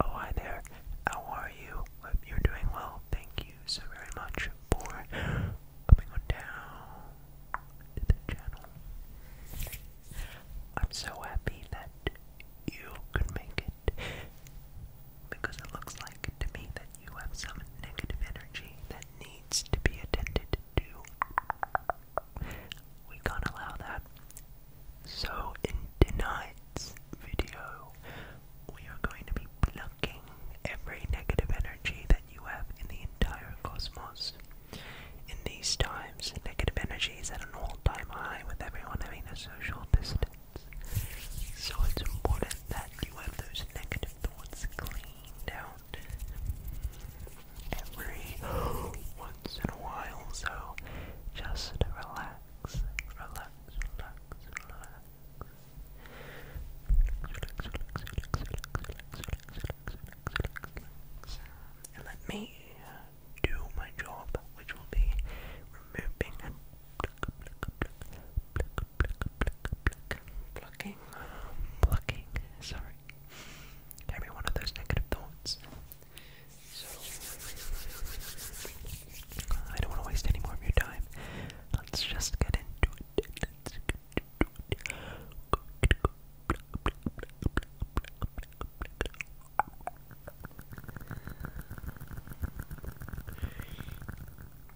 Oh, hi there. How are you? you're doing well. Thank you so very much for coming on down to the channel. I'm so happy that you could make it because it looks like to me that you have some negative energy that needs to be attended to. We can't allow that. So, in tonight's video, we are going to be plucking every negative energy that you have in the entire cosmos. In these times, negative energy is at an all time high with everyone having a social distance. So it's important that you have those negative thoughts cleaned out every once in a while, so just relax, relax, relax, relax. And let me do my job, which will be removing and pluck, pluck, pluck, pluck, pluck, pluck, sorry. Every one of those negative thoughts. So, I don't want to waste any more of your time. Let's just get into it.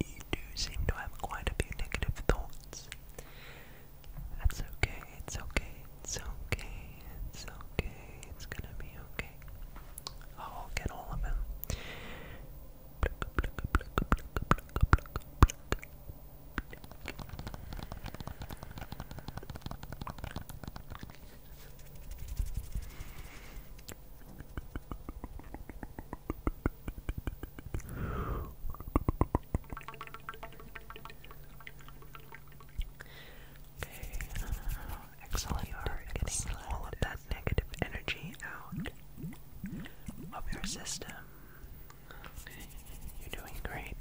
you do seem to have quite a few negative thoughts. That's okay, it's okay, it's okay, it's okay, it's gonna be okay. I'll get all of them. Okay, uh, excellent. You're getting all of that negative energy out of your system. you're doing great.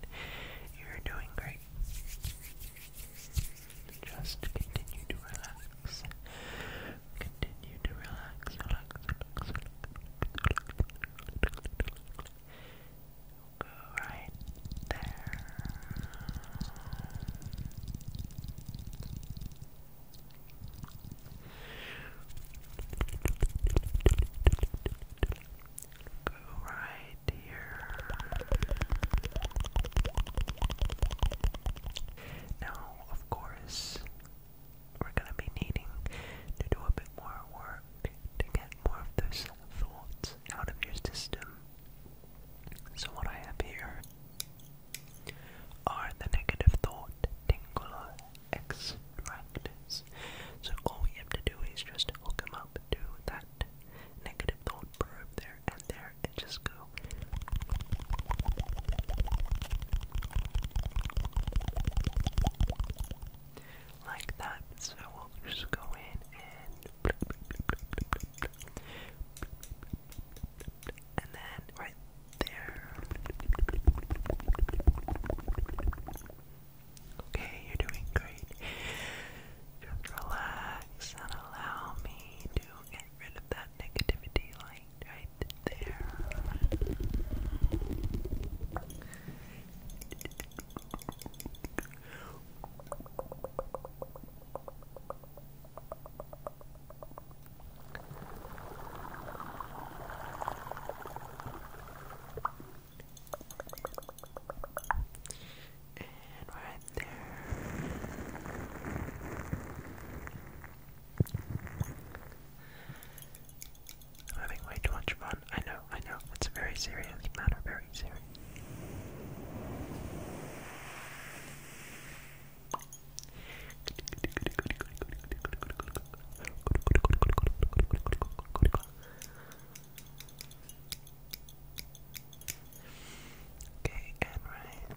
You're doing great. Just continue to relax relax. Continue to relax. Go right there. Go right here. Now, of course, we're going to be needing to do a bit more work to get more of those thoughts out of your system. So, what I have here are the negative thought tingle extractors. So, all we have to do is just hook them up to that negative thought probe there, and there and just go. Like that. So we'll just go in and and then right there. Okay, you're doing great. Just relax and allow me to get rid of that negativity like right there. And right there. I'm having way too much fun. I know, I know. It's a very serious matter, very serious. Okay, and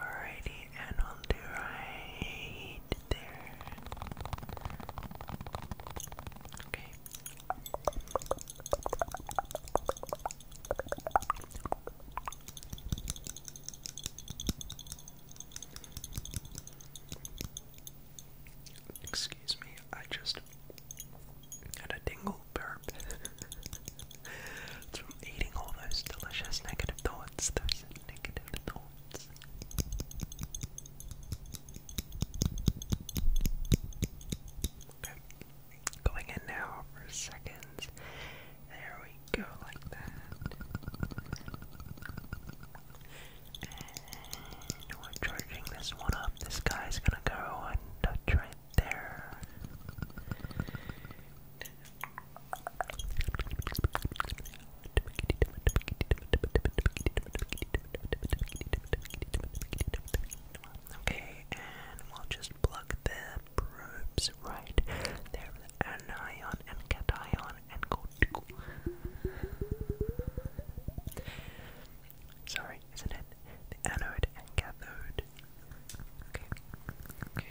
Alrighty, and on the right there. Okay. Excuse me, I just had a dingle burp from eating all those delicious negative thoughts, Going in now for seconds. There we go, like that. we're charging this one up. This guy's gonna go and touch right there. Okay, and we'll just plug the probes right there with anion and cation and go to Sorry, isn't it? The anode and cathode. Okay.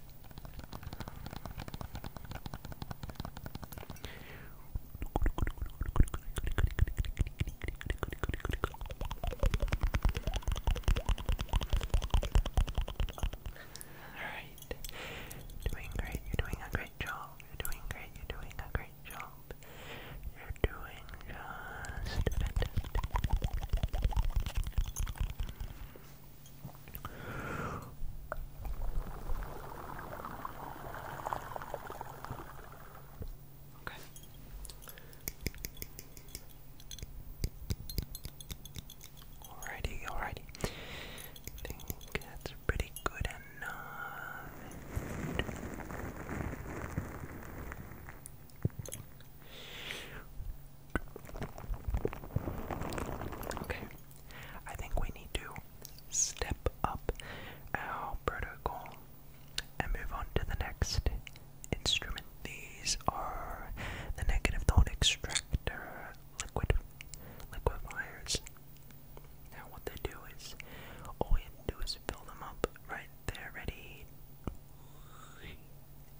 Alright. Doing great. You're doing a great job. You're doing great. You're doing a great job. You're doing just Okay. Alrighty, alrighty. think that's pretty good enough. Okay, I think we need to step up our protocol and move on to the next instrument. These are the negative thought extractor liquid liquefiers. Now, what they do is all you do is fill them up right there, ready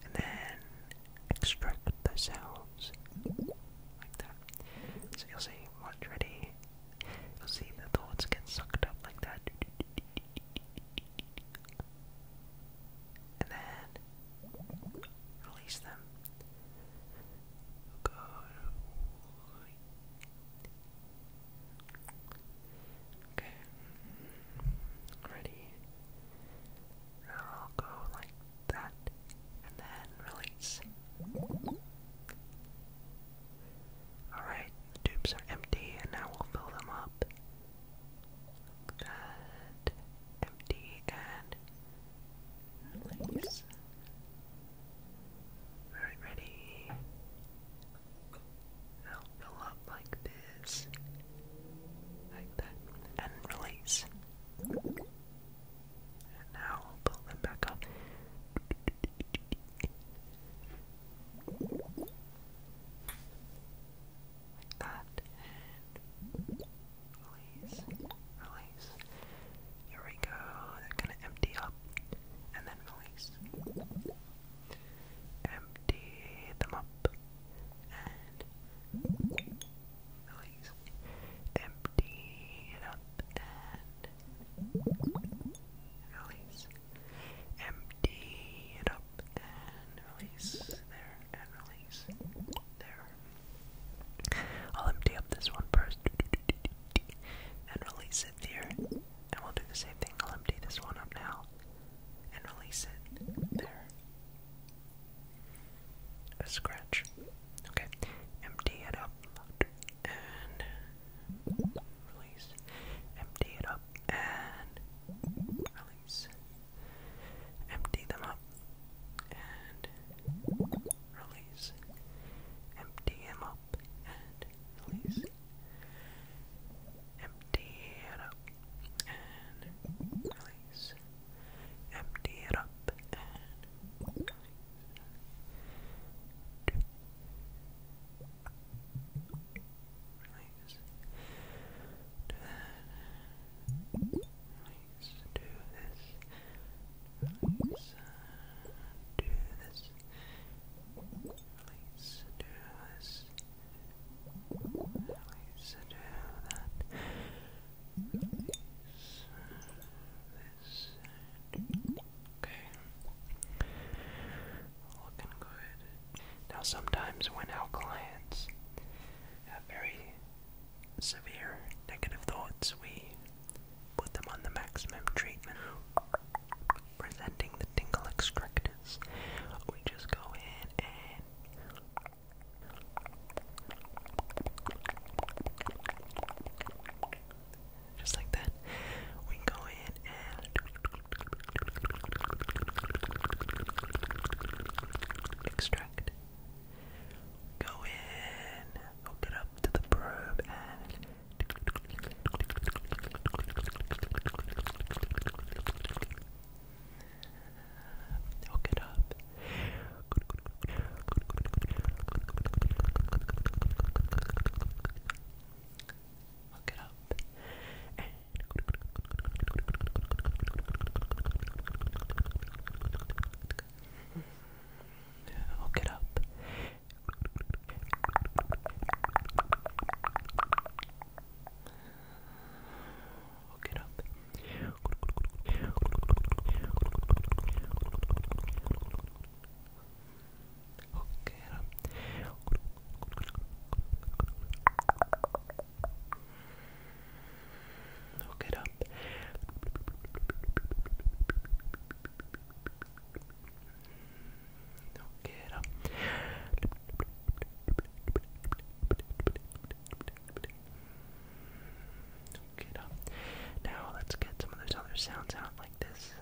and then extract the cells like that. So you'll see once ready, you'll see the thoughts get sucked up like that. And then release them. Okay. Ready. I'll go like that, and then release. Alright, tubes are empty, and now we'll fill them up. Like empty, and release. Alright, ready. Now fill up like this, like that, and release. And now we'll pull them back up. Like that. release. Release. Here we go. They're gonna empty up. And then release. Empty them up. And release please. Empty it up and release. Empty it up and release. There and release. There. I'll empty up this one first and release it there. And we'll do the same thing. I'll empty this one up now and release it there a scratch. Okay, empty it up and release. Empty it up and release. Empty them up and release. Empty him up and release. Empty it up and release empty it up Release. Do that. Release. Do this. Release. Do this. Release. Do this. Release. Do that okay now sometimes when our clients have very severe negative thoughts we put them on the maximum treatment presenting the tingle extractors we just go in and just like that, we go in and extract. Go in, hook it up to the probe, and Hook it up. Hook it up. And hook it up. Hook it up. Hockera Hook it up. Hook it up. Get Now let's get some of those other sounds out like this.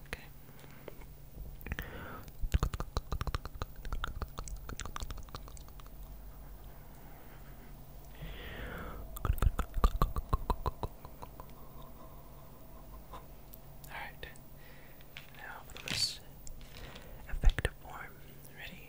Okay. Alright now for the effective form. Ready?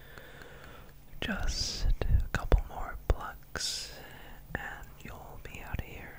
Just a couple more plucks and you'll be out of here.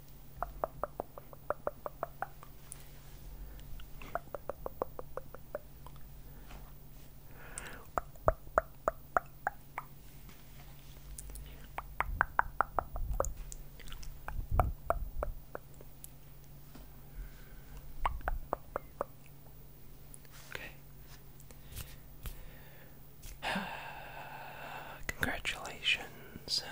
Okay. Congratulations friends.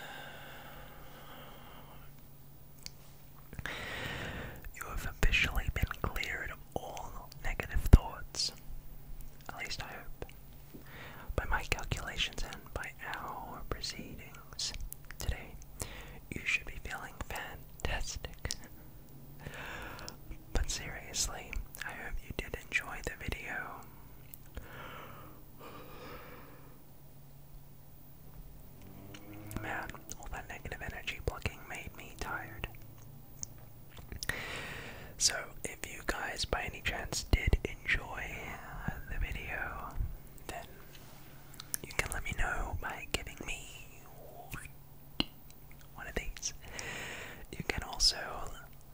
You have officially been cleared of all negative thoughts. At least I hope. By my calculations and by our proceedings today, you should be feeling fantastic. But seriously, I hope you did enjoy the video. Man, all that negative energy plucking made me tired. So, if you guys by any chance did enjoy the video, then you can let me know by giving me one of these. You can also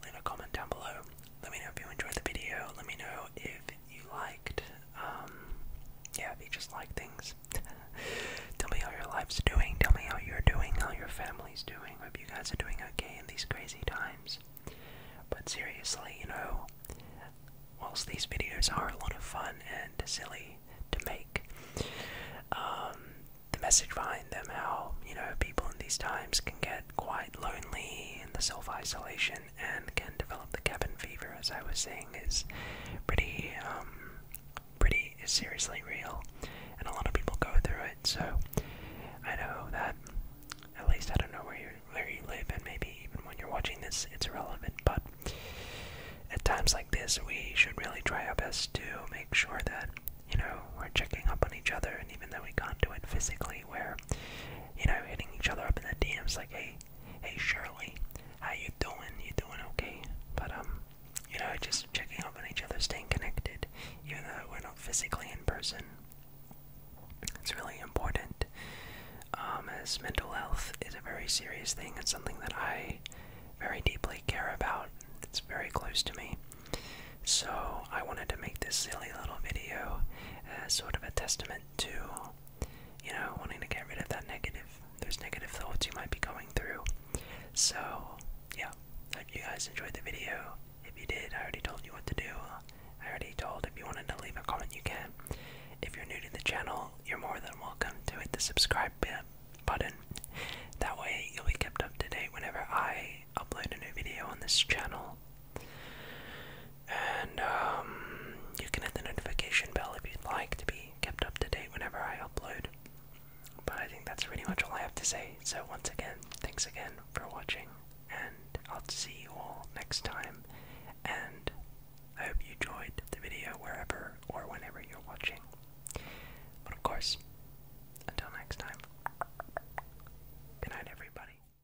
leave a comment down below let me know if you enjoyed the video. Let me know if you liked. Um, yeah, if you just like things. Tell me how your life's doing. Tell me how you're doing, how your family's doing. Hope you guys are doing okay in these crazy times. But seriously, you know, whilst these videos are a lot of fun and silly to make, um, the message behind them, how, you know, people in these times can get quite lonely in the self isolation condition and can develop the cabin fever, as I was saying, is pretty, um, pretty is seriously real, and a lot of people go through it. So I know that at least I don't know where you where you live, and maybe even when you're watching this, it's relevant. But at times like this, we should really try our best to make sure that you know we're checking up on each other, and even though we can't do it physically where, you know, hitting each other up in the DMs like, hey, hey Shirley, how you doing? You doing okay? But um, you know, just checking up on each other, staying connected, even though we're not physically in person. It's really important. Um, as mental health is a very serious thing, it's something that I very deeply care about. It's very close to me. So I wanted to make this silly little video as uh, sort of a testament to, you know, wanting to get rid of that negative, There's negative thoughts you might be going through. So, yeah, hope you guys enjoyed the video. If you did, I already told you what to do. I already told if you wanted to leave a comment, you can. If you're new to the channel, you're more than welcome to hit the subscribe button. That way, you'll be kept up to date whenever I upload a new video on this channel. And um, you can hit the notification bell if you'd like to be kept up to date whenever I upload. But I think that's pretty much all I have to say. So, once again, thanks again for watching, and I'll see you all next time. And I hope you enjoyed the video wherever or whenever you're watching. But of course, until next time, good everybody.